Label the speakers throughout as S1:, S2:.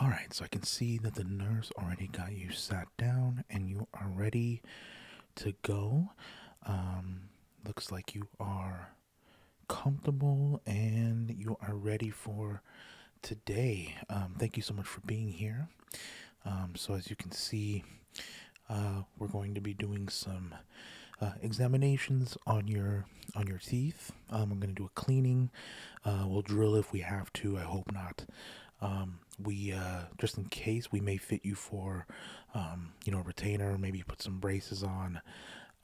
S1: All right, so I can see that the nurse already got you sat down and you are ready to go. Um, looks like you are comfortable and you are ready for today. Um, thank you so much for being here. Um, so, as you can see, uh, we're going to be doing some uh, examinations on your on your teeth. Um, I'm going to do a cleaning. Uh, we'll drill if we have to. I hope not. Um, we just in case we may fit you for you know a retainer. Maybe put some braces on.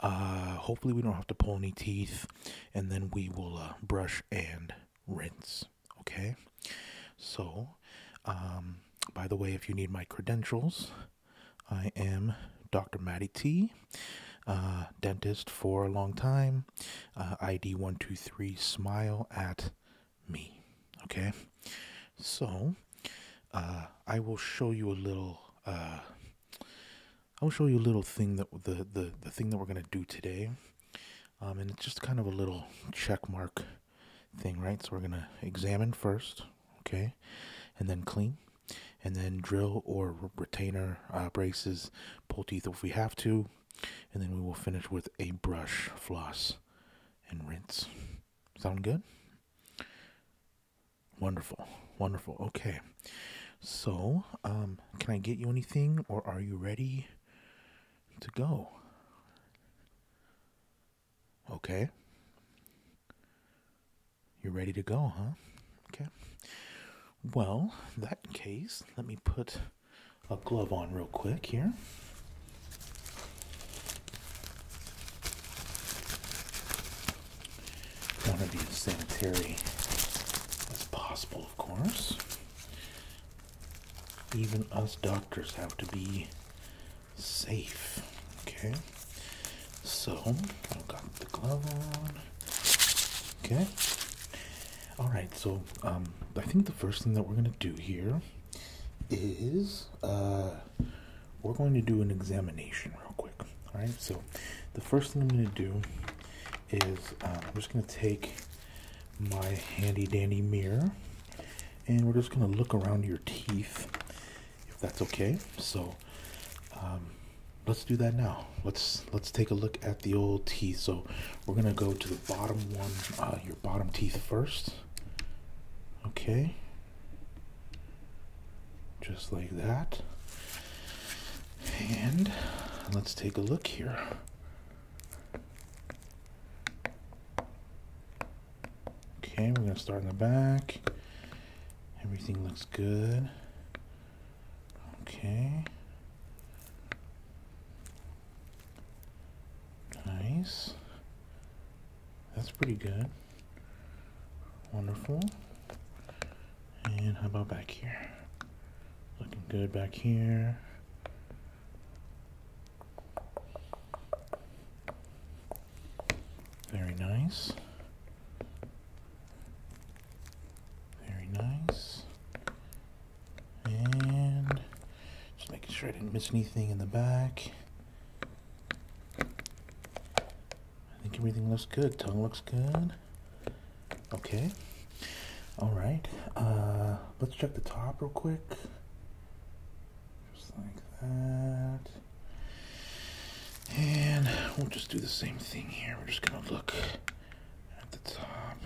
S1: hopefully we don't have to pull any teeth, and then we will brush and rinse. Okay, so um, by the way, if you need my credentials, I am Dr. Maddie T, uh, dentist for a long time, uh, ID 123, smile at me. Okay, so uh, I will show you a little. I'll show you a little thing that the the, the thing that we're gonna do today um, and it's just kind of a little check mark thing, right? So we're going to examine first, okay, and then clean, and then drill or retainer uh, braces, pull teeth if we have to, and then we will finish with a brush, floss, and rinse. Sound good? Wonderful, wonderful. Okay, so um, can I get you anything, or are you ready? to go. Okay. You're ready to go, huh? Okay. Well, that case, let me put a glove on real quick here. Want to be as sanitary as possible, of course even us doctors have to be safe. Okay, so I've got the glove on. Okay, all right. So um, I think the first thing that we're gonna do here is uh, we're going to do an examination real quick. All right. So the first thing I'm gonna do is uh, I'm just gonna take my handy dandy mirror. And we're just going to look around your teeth if that's okay. So um, let's do that now. Let's let's take a look at the old teeth. So we're going to go to the bottom one, uh, your bottom teeth first. Okay. Just like that. And let's take a look here. Okay, we're gonna start in the back. Everything looks good. Okay. Nice. That's pretty good. Wonderful. And how about back here? Looking good back here. Very nice. Very nice. And just making sure I didn't miss anything in the back. I think everything looks good. Tongue looks good. Okay. All right. Uh, let's check the top real quick. Just like that. And we'll just do the same thing here. We're just going to look at the top.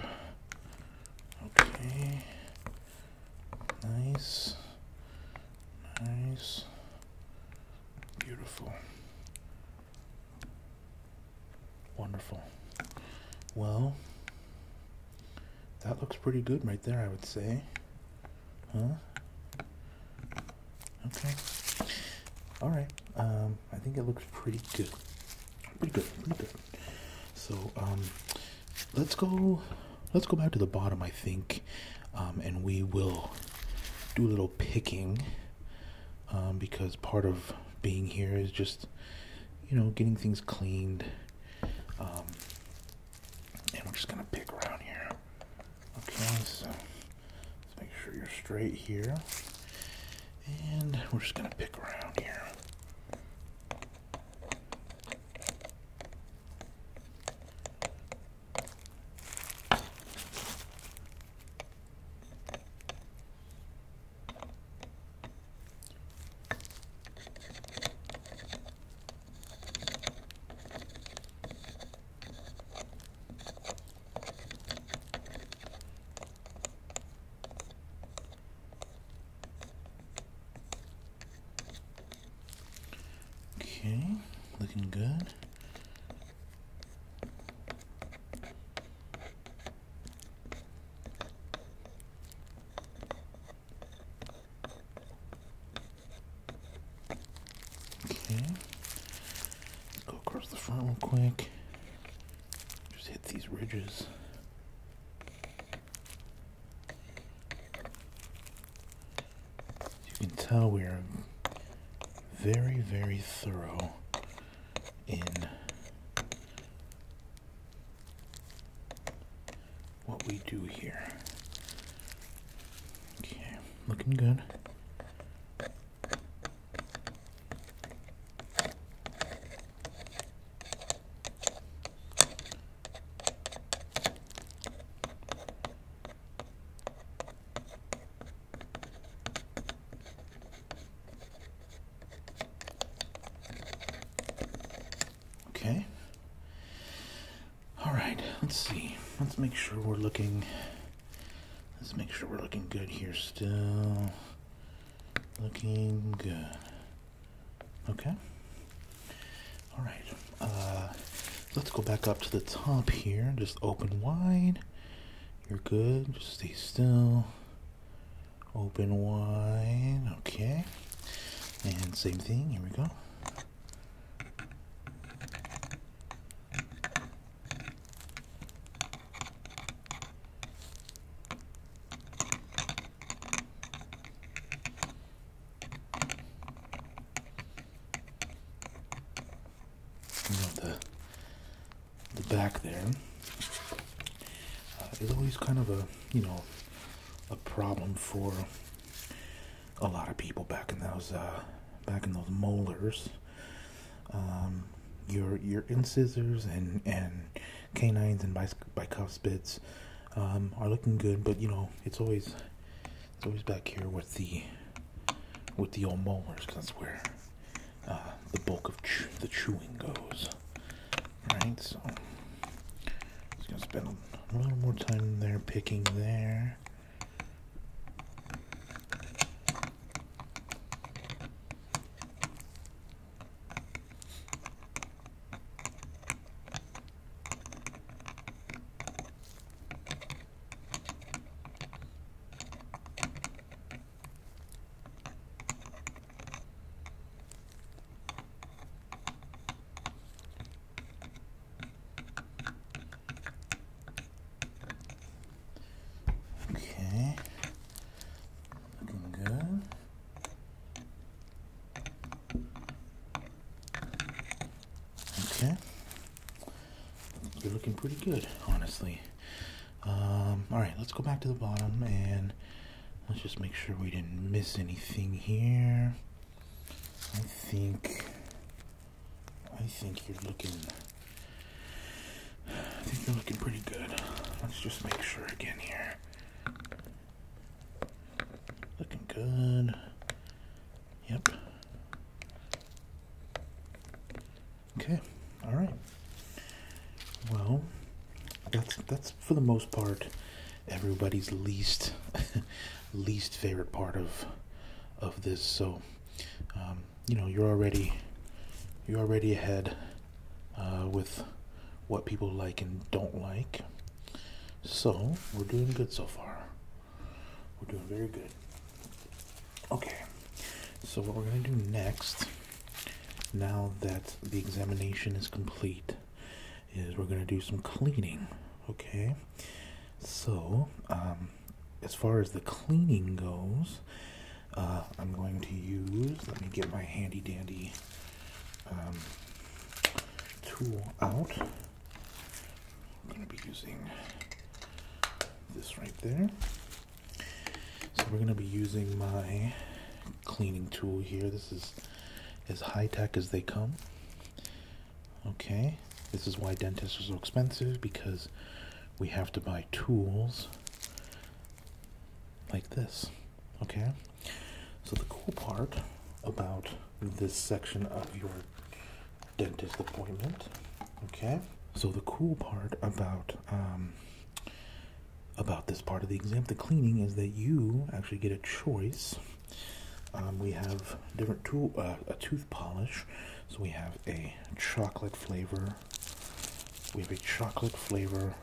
S1: Okay. Nice. Nice. Beautiful. Wonderful. Well, that looks pretty good right there, I would say. Huh? Okay. All right. Um, I think it looks pretty good. Pretty good. Pretty good. So, um, let's go. Let's go back to the bottom, I think, um, and we will do a little picking um, because part of being here is just you know, getting things cleaned. Um, and we're just gonna pick around here. Okay, so let's make sure you're straight here. And we're just gonna pick around here. Okay, looking good. Okay. go across the front real quick. Just hit these ridges. you can tell we are very, very thorough in what we do here. Okay, looking good. Okay. All right, let's see. Let's make sure we're looking Let's make sure we're looking good here still. Looking good. Okay. All right. Uh, let's go back up to the top here. Just open wide. You're good. Just stay still open wide okay and same thing here we go you the back there uh, is always kind of a you know a problem for a lot of people back in those uh, back in those molars. Um, your your incisors and and canines and bic- bicuspids um, are looking good, but you know it's always it's always back here with the with the old molars that's where uh, the bulk of the chewing goes. Right, so just gonna spend a little more time there picking there. Okay, looking good. Okay, you're looking pretty good, honestly. Um, Alright, let's go back to the bottom and let's just make sure we didn't miss anything here. I think I think you're looking I think you're looking pretty good. Let's just make sure again here. Looking good. Yep. Okay, all right. Well, that's that's for the most part everybody's least least favorite part of of this. So, um, you know, you're already you're already ahead uh, with what people like and don't like. So we're doing good so far. We're doing very good. Okay. So what we're gonna do next. Now that the examination is complete, is we're gonna do some cleaning. Okay, so um, as far as the cleaning goes, uh, I'm going to use. Let me get my handy dandy um, tool out. I'm gonna be using this right there. So we're going to be using my cleaning tool here. This is as high-tech as they come. Okay, this is why dentists are so expensive because we have to buy tools like this. Okay, so the cool part about this section of your dentist appointment, okay, so the cool part about um, about this part of the exam, the cleaning, is that you actually get a choice. Um, we have different tool, uh, a tooth polish. So we have a chocolate flavor. We have a chocolate flavor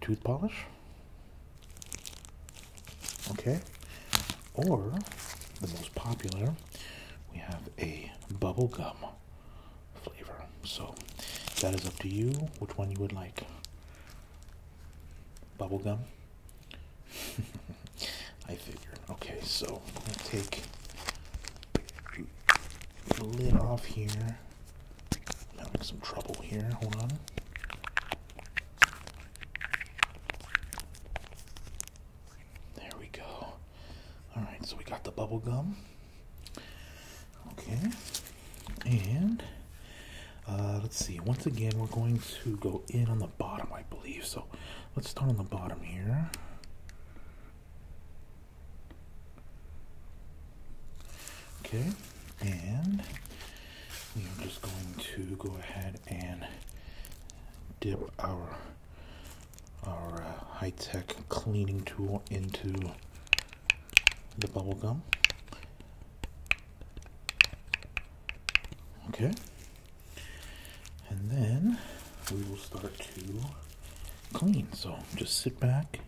S1: tooth polish. Okay. Or the most popular, we have a bubble gum flavor. So that is up to you which one you would like. Bubblegum? I figured. Okay, so I'm going to take the lid off here. I'm having some trouble here. Hold on. There we go. Alright, so we got the bubble gum. Okay. And uh, let's see. Once again, we're going to go in on the bottom, I believe. So let's start on the bottom here. Okay. And we are just going to go ahead and dip our our uh, high-tech cleaning tool into the bubble gum. Okay. And then we will start to clean. So just sit back,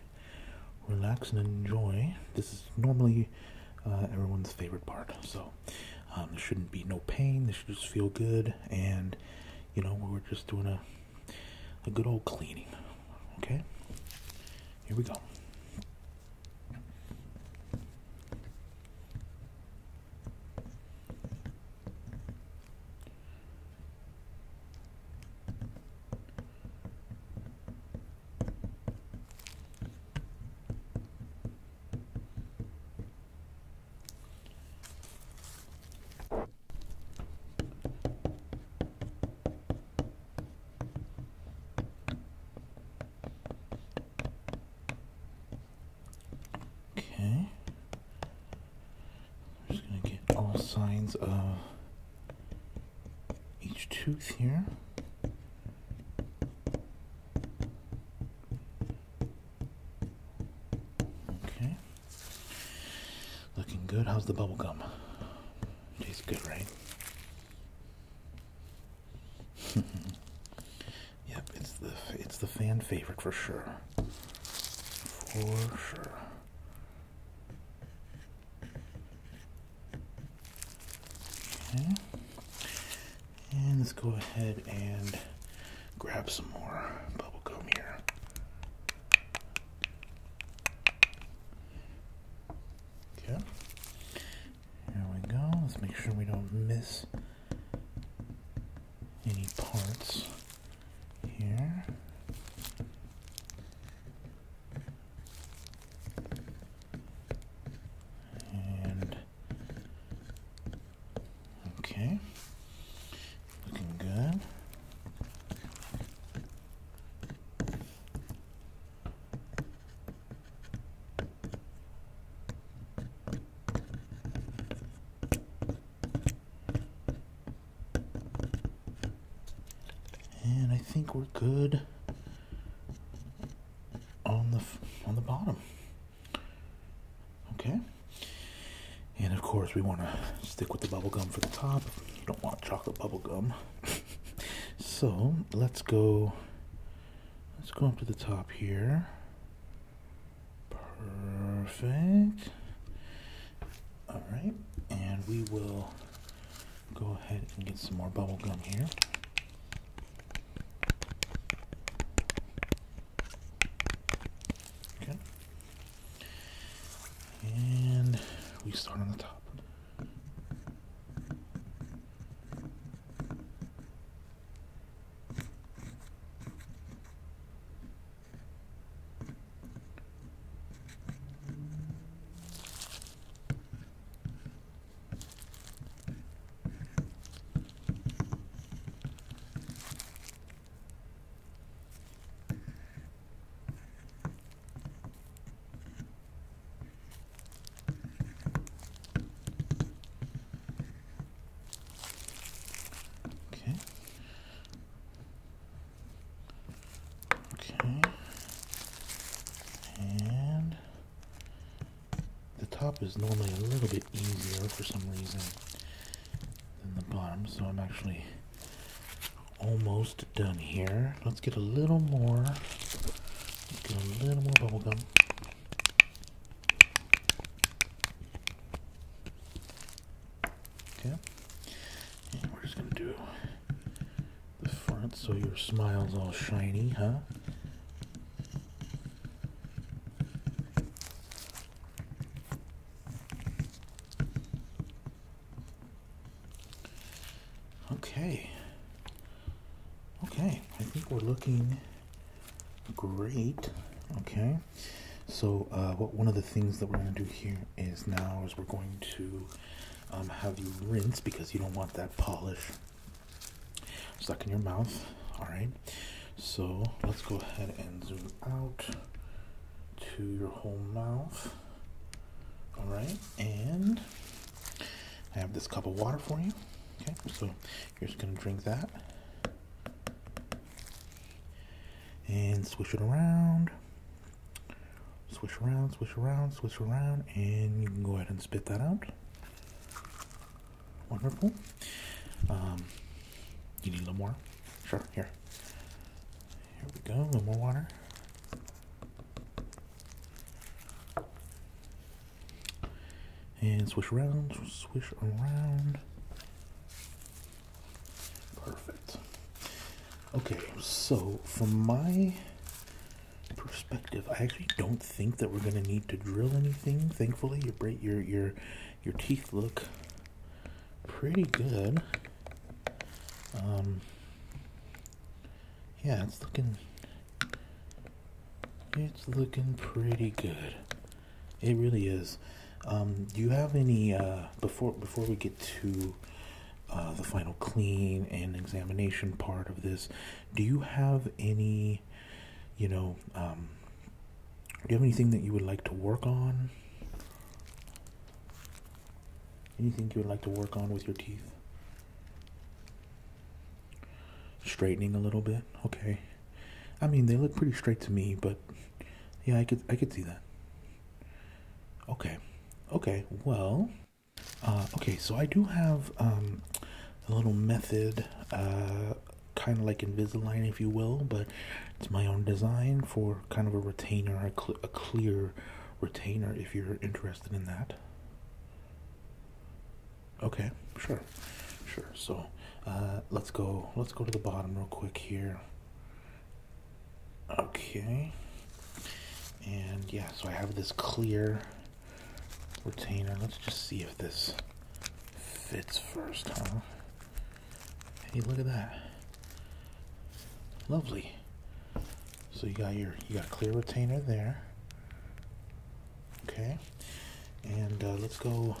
S1: relax, and enjoy. This is normally uh, everyone's favorite part. So um, there shouldn't be no pain. This should just feel good. And, you know, we're just doing a a good old cleaning. Okay? Here we go. Okay. just going to get all signs of each tooth here. Okay. Looking good. How's the bubble gum? Tastes good, right? yep, it's the it's the fan favorite for sure. For sure. Okay. And let's go ahead and grab some more bubble gum here. Okay. There we go. Let's make sure we don't miss any parts here. And okay. Looking good. And I think we're good on the on the bottom. Okay. And of course, we want to stick with the bubble gum for the top. You don't want chocolate bubble gum. so let's go. Let's go up to the top here. Perfect. All right, and we will go ahead and get some more bubble gum here. Okay. And we start on the top. Okay. Okay. And the top is normally a little bit easier for some reason than the bottom, so I'm actually almost done here. Let's get a little more. get a little more bubble gum. Yeah, And we're just gonna do the front so your smile's all shiny, huh? Okay. Okay, I think we're looking great. Okay. So, uh, what one of the things that we're going to do here is now is we're going to um, have you rinse because you don't want that polish stuck in your mouth. All right. So let's go ahead and zoom out to your whole mouth. All right, and I have this cup of water for you. Okay, so you're just gonna drink that and swish it around. Swish around, swish around, swish around, and you can go ahead and spit that out. Wonderful. Um, you need a little more. Sure, here. Here we go, a little more water. And swish around, swish around. Perfect. Okay, so from my perspective, I actually don't think that we're gonna need to drill anything. Thankfully, your your your your teeth look pretty good. Um, yeah, it's looking, it's looking pretty good. It really is. Um, do you have any, uh, before, before we get to, uh, the final clean and examination part of this, do you have any, you know, um, do you have anything that you would like to work on? Anything you would like to work on with your teeth? Straightening a little bit. Okay. I mean, they look pretty straight to me, but yeah, I could I could see that. Okay. Okay. Well, uh, okay, so I do have um, a little method uh, kind of like Invisalign, if you will, but it's my own design for kind of a retainer, a, clear retainer if you're interested in that. Okay, sure, sure. So uh, let's go. Let's go to the bottom real quick here. Okay, and yeah, so I have this clear retainer. Let's just see if this fits first, huh? Hey, look at that. Lovely. So you got your you got clear retainer there. Okay, and uh, let's go.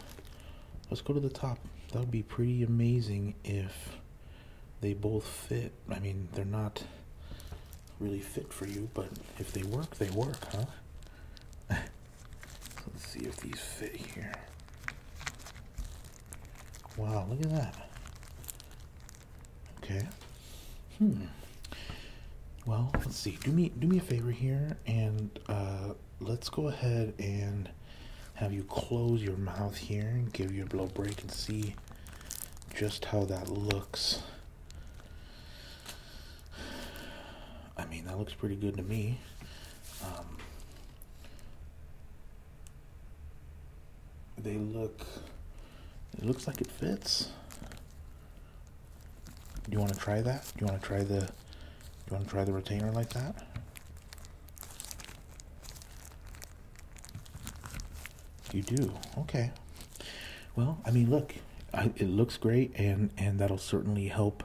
S1: Let's go to the top. That would be pretty amazing if they both fit. I mean, they're not really fit for you, but if they work, they work, huh? let's see if these fit here. Wow, look at that. Okay. Hmm. Well, let's see. Do me do me a favor here, and uh, let's go ahead and have you close your mouth here and give you a blow break and see just how that looks. I mean, that looks pretty good to me. Um, they look it looks like it fits do you want to try that do you want to try the do you want to try the retainer like that you do okay well i mean look it looks great and and that'll certainly help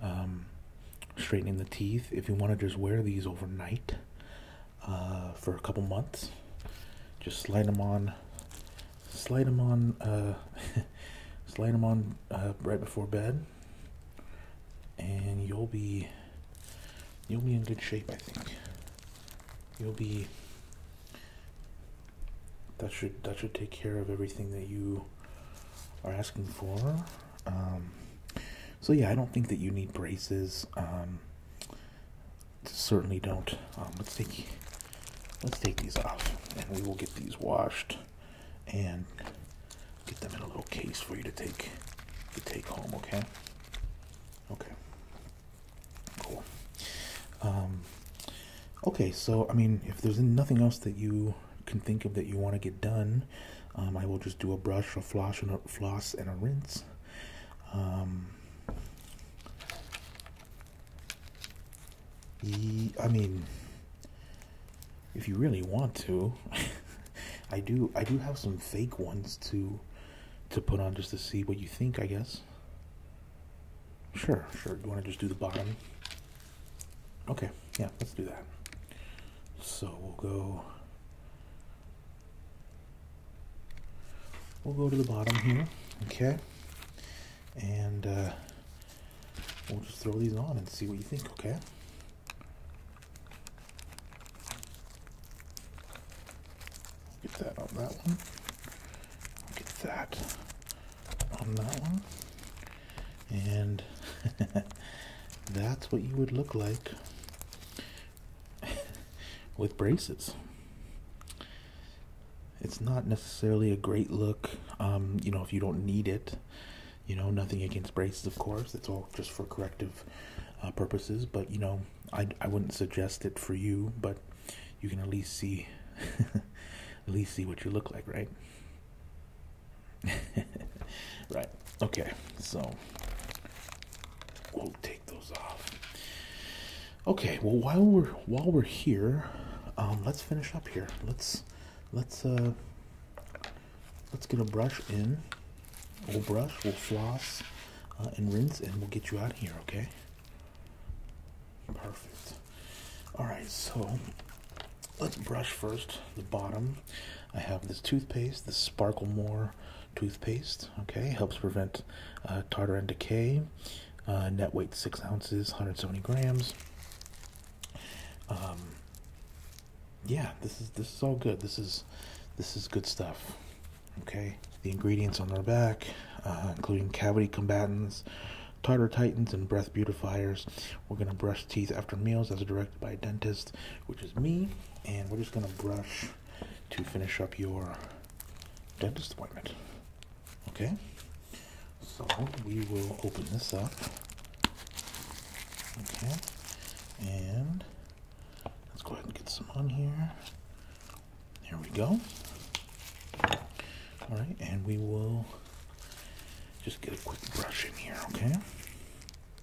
S1: um, straightening the teeth. If you want to just wear these overnight uh, for a couple months, just slide them on, slide them on, uh, slide them on uh, right before bed, and you'll be you'll be in good shape. I think you'll be that should that should take care of everything that you are asking for. Um, so yeah, I don't think that you need braces. Um, certainly don't. Um, let's take let's take these off, and we will get these washed and get them in a little case for you to take to take home. Okay. Okay. Cool. Um, okay, so I mean, if there's nothing else that you can think of that you want to get done. Um, I will just do a brush, a floss, and a rinse. Um, I mean, if you really want to, I do. I do have some fake ones to to put on just to see what you think. I guess. Sure, sure. You want to just do the bottom? Okay, yeah, let's do that. So we'll go we'll go to the bottom here, okay? And uh, we'll just throw these on and see what you think, okay? Get that on that one. Get that on that one and that's what you would look like with braces. It's not necessarily a great look, um, you know, if you don't need it. You know, nothing against braces, of course. It's all just for corrective uh, purposes. But you know, I I wouldn't suggest it for you. But you can at least see, at least see what you look like, right? right. Okay. So we'll take those off. Okay. Well, while we're while we're here, um, let's finish up here. Let's let's uh let's get a brush in. We'll brush. We'll floss uh, and rinse, and we'll get you out here. Okay. Perfect. All right. So let's brush first the bottom. I have this toothpaste, this Sparkle More toothpaste. Okay, helps prevent uh, tartar and decay. Uh, net weight six ounces, 170 grams. Um, yeah, this is this is all good. This is this is good stuff. Okay, the ingredients on our back, uh, including cavity combatants, tartar titans, and breath beautifiers. We're gonna brush teeth after meals as directed by a dentist which is me, and we're just gonna brush to finish up your dentist appointment. Okay? So we will open this up. Okay. And let's go ahead and get some on here. There we go. All right, and we will just get a quick brush in here, okay?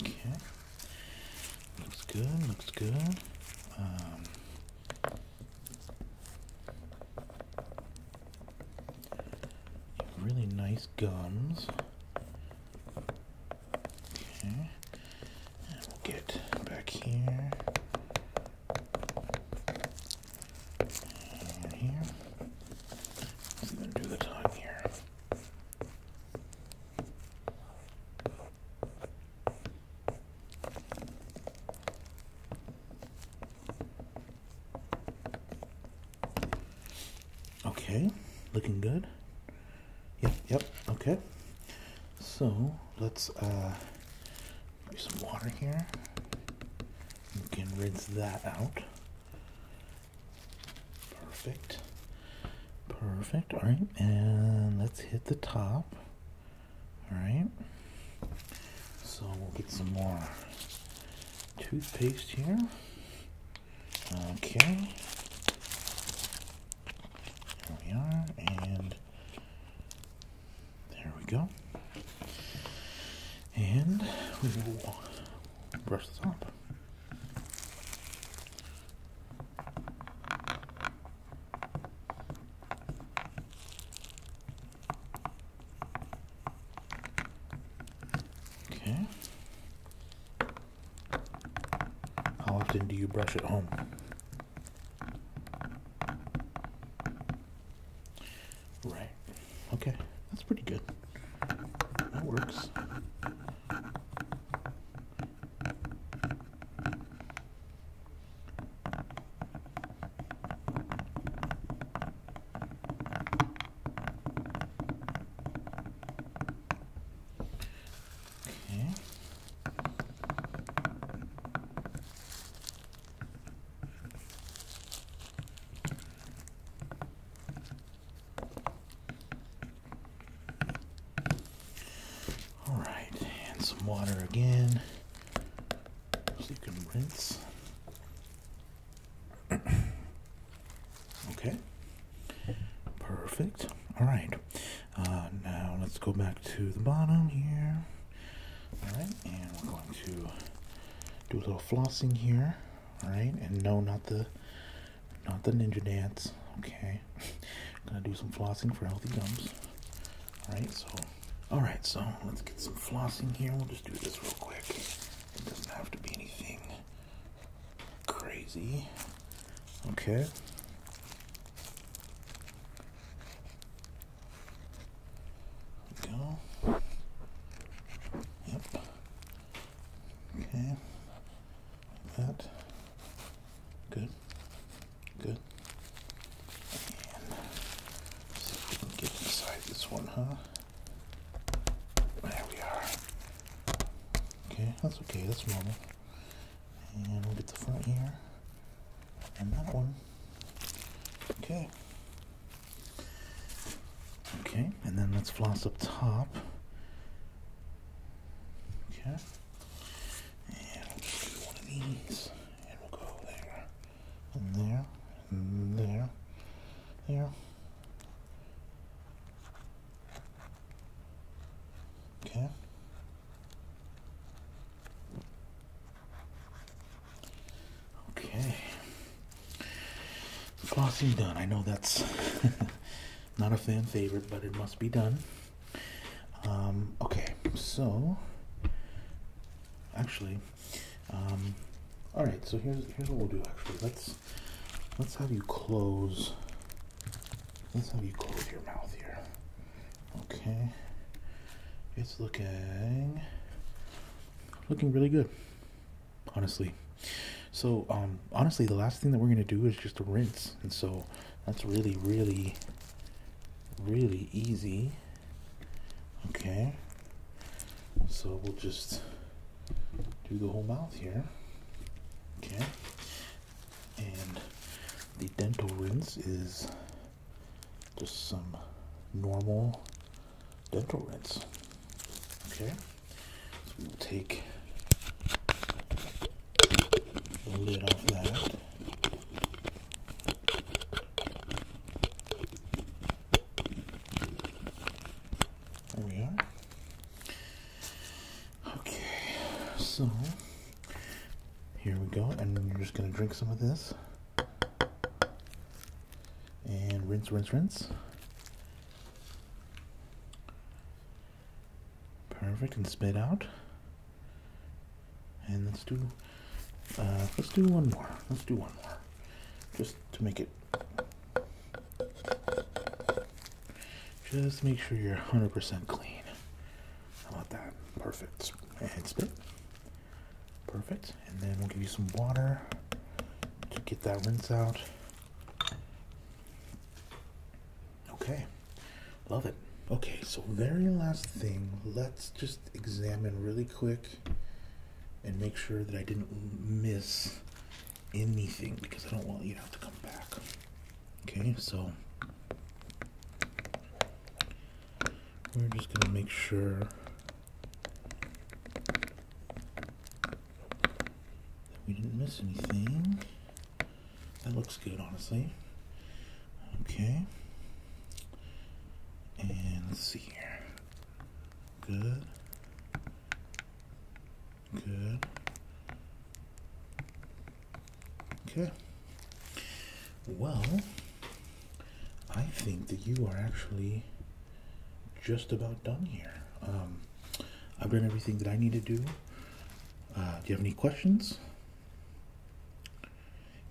S1: Okay. Looks good, looks good. Um, really nice gums. Okay. And we'll get back here. Let's even do the time here. Okay, looking good. Yep, yep, okay. So let's uh do some water here. You can rinse that out. Perfect. Perfect. All right, and let's hit the top. All right. So we'll get some more toothpaste here. Okay. There we are, and there we go and we will brush this up. Okay. How often do you brush at home? Right. Okay. That's pretty good. That works. Okay. All right, and some water again so you can rinse. okay, perfect. All right, uh, now let's go back to the bottom here. All right, and we're going to do a little flossing here. All right, and no, not the, not the ninja dance. Okay, I'm gonna do some flossing for healthy gums. All right, so, all right, so let's get some flossing here. We'll just do this real quick. It doesn't have to be anything crazy. Okay. Go. Yep. Okay. Like that. Good. Good. And see if we can get inside this one, huh? There we are. Okay, that's okay. That's normal. And we get the front here. And that one. Okay. Okay, and then let's floss up top. Okay. And one of these. And we'll go there. And there. And there. There. Okay. Okay. Flossing done. I know that's not a fan favorite, but it must be done. Um, okay, so actually, um, all right. So here's here's what we'll do. Actually, let's let's have you close. Let's have you close your mouth here. Okay, it's looking looking really good honestly. So, um, honestly, the last thing that we're gonna do is just rinse, and so that's really, really, really easy. Okay, so we'll just do the whole mouth here. Okay, and the dental rinse is just some normal dental rinse. Okay, so we'll take the lid off that. There we are. Okay, so here we go, and you are just gonna drink some of this. And rinse, rinse, rinse. Perfect, and spit out. And let's do, uh, let's do one more. Let's do one more, just to make it. Just make sure you're 100% clean. How about that? Perfect. And spit. Perfect. And then we'll give you some water to get that rinse out. Okay. Love it. Okay, so very last thing, let's just examine really quick and make sure that I didn't miss anything because I don't want you to have to come back. Okay, so we're just gonna make sure we didn't miss anything. That looks good, honestly. Okay. And let's see here. Good. Good. Okay. Well, I think that you are actually just about done here. Um, I've done everything that I need to do. Uh, do you have any questions?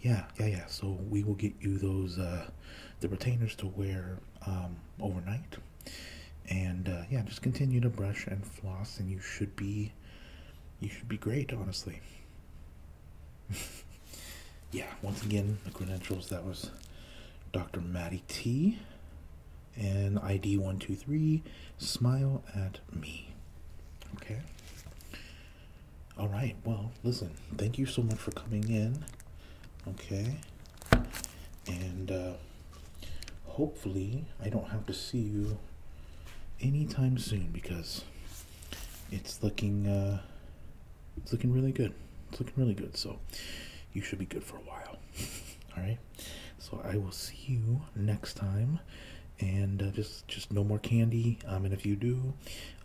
S1: Yeah, yeah, yeah. So we will get you those uh, the retainers to wear um, overnight, and uh, yeah, just continue to brush and floss, and you should be you should be great, honestly. yeah, once again, the credentials that was Dr. Maddie T and ID 123. Smile at me. Okay. All right. Well, listen, thank you so much for coming in. Okay. And uh, hopefully, I don't have to see you anytime soon because it's looking uh, it's looking really good. It's looking really good. So you should be good for a while. All right. So I will see you next time. And uh, just just no more candy. Um, and if you do,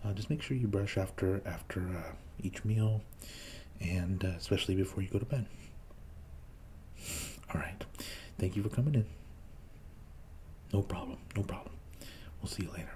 S1: uh, just make sure you brush after after uh, each meal, and especially before you go to bed. All right. Thank you for coming in. No problem. No problem. We'll see you later.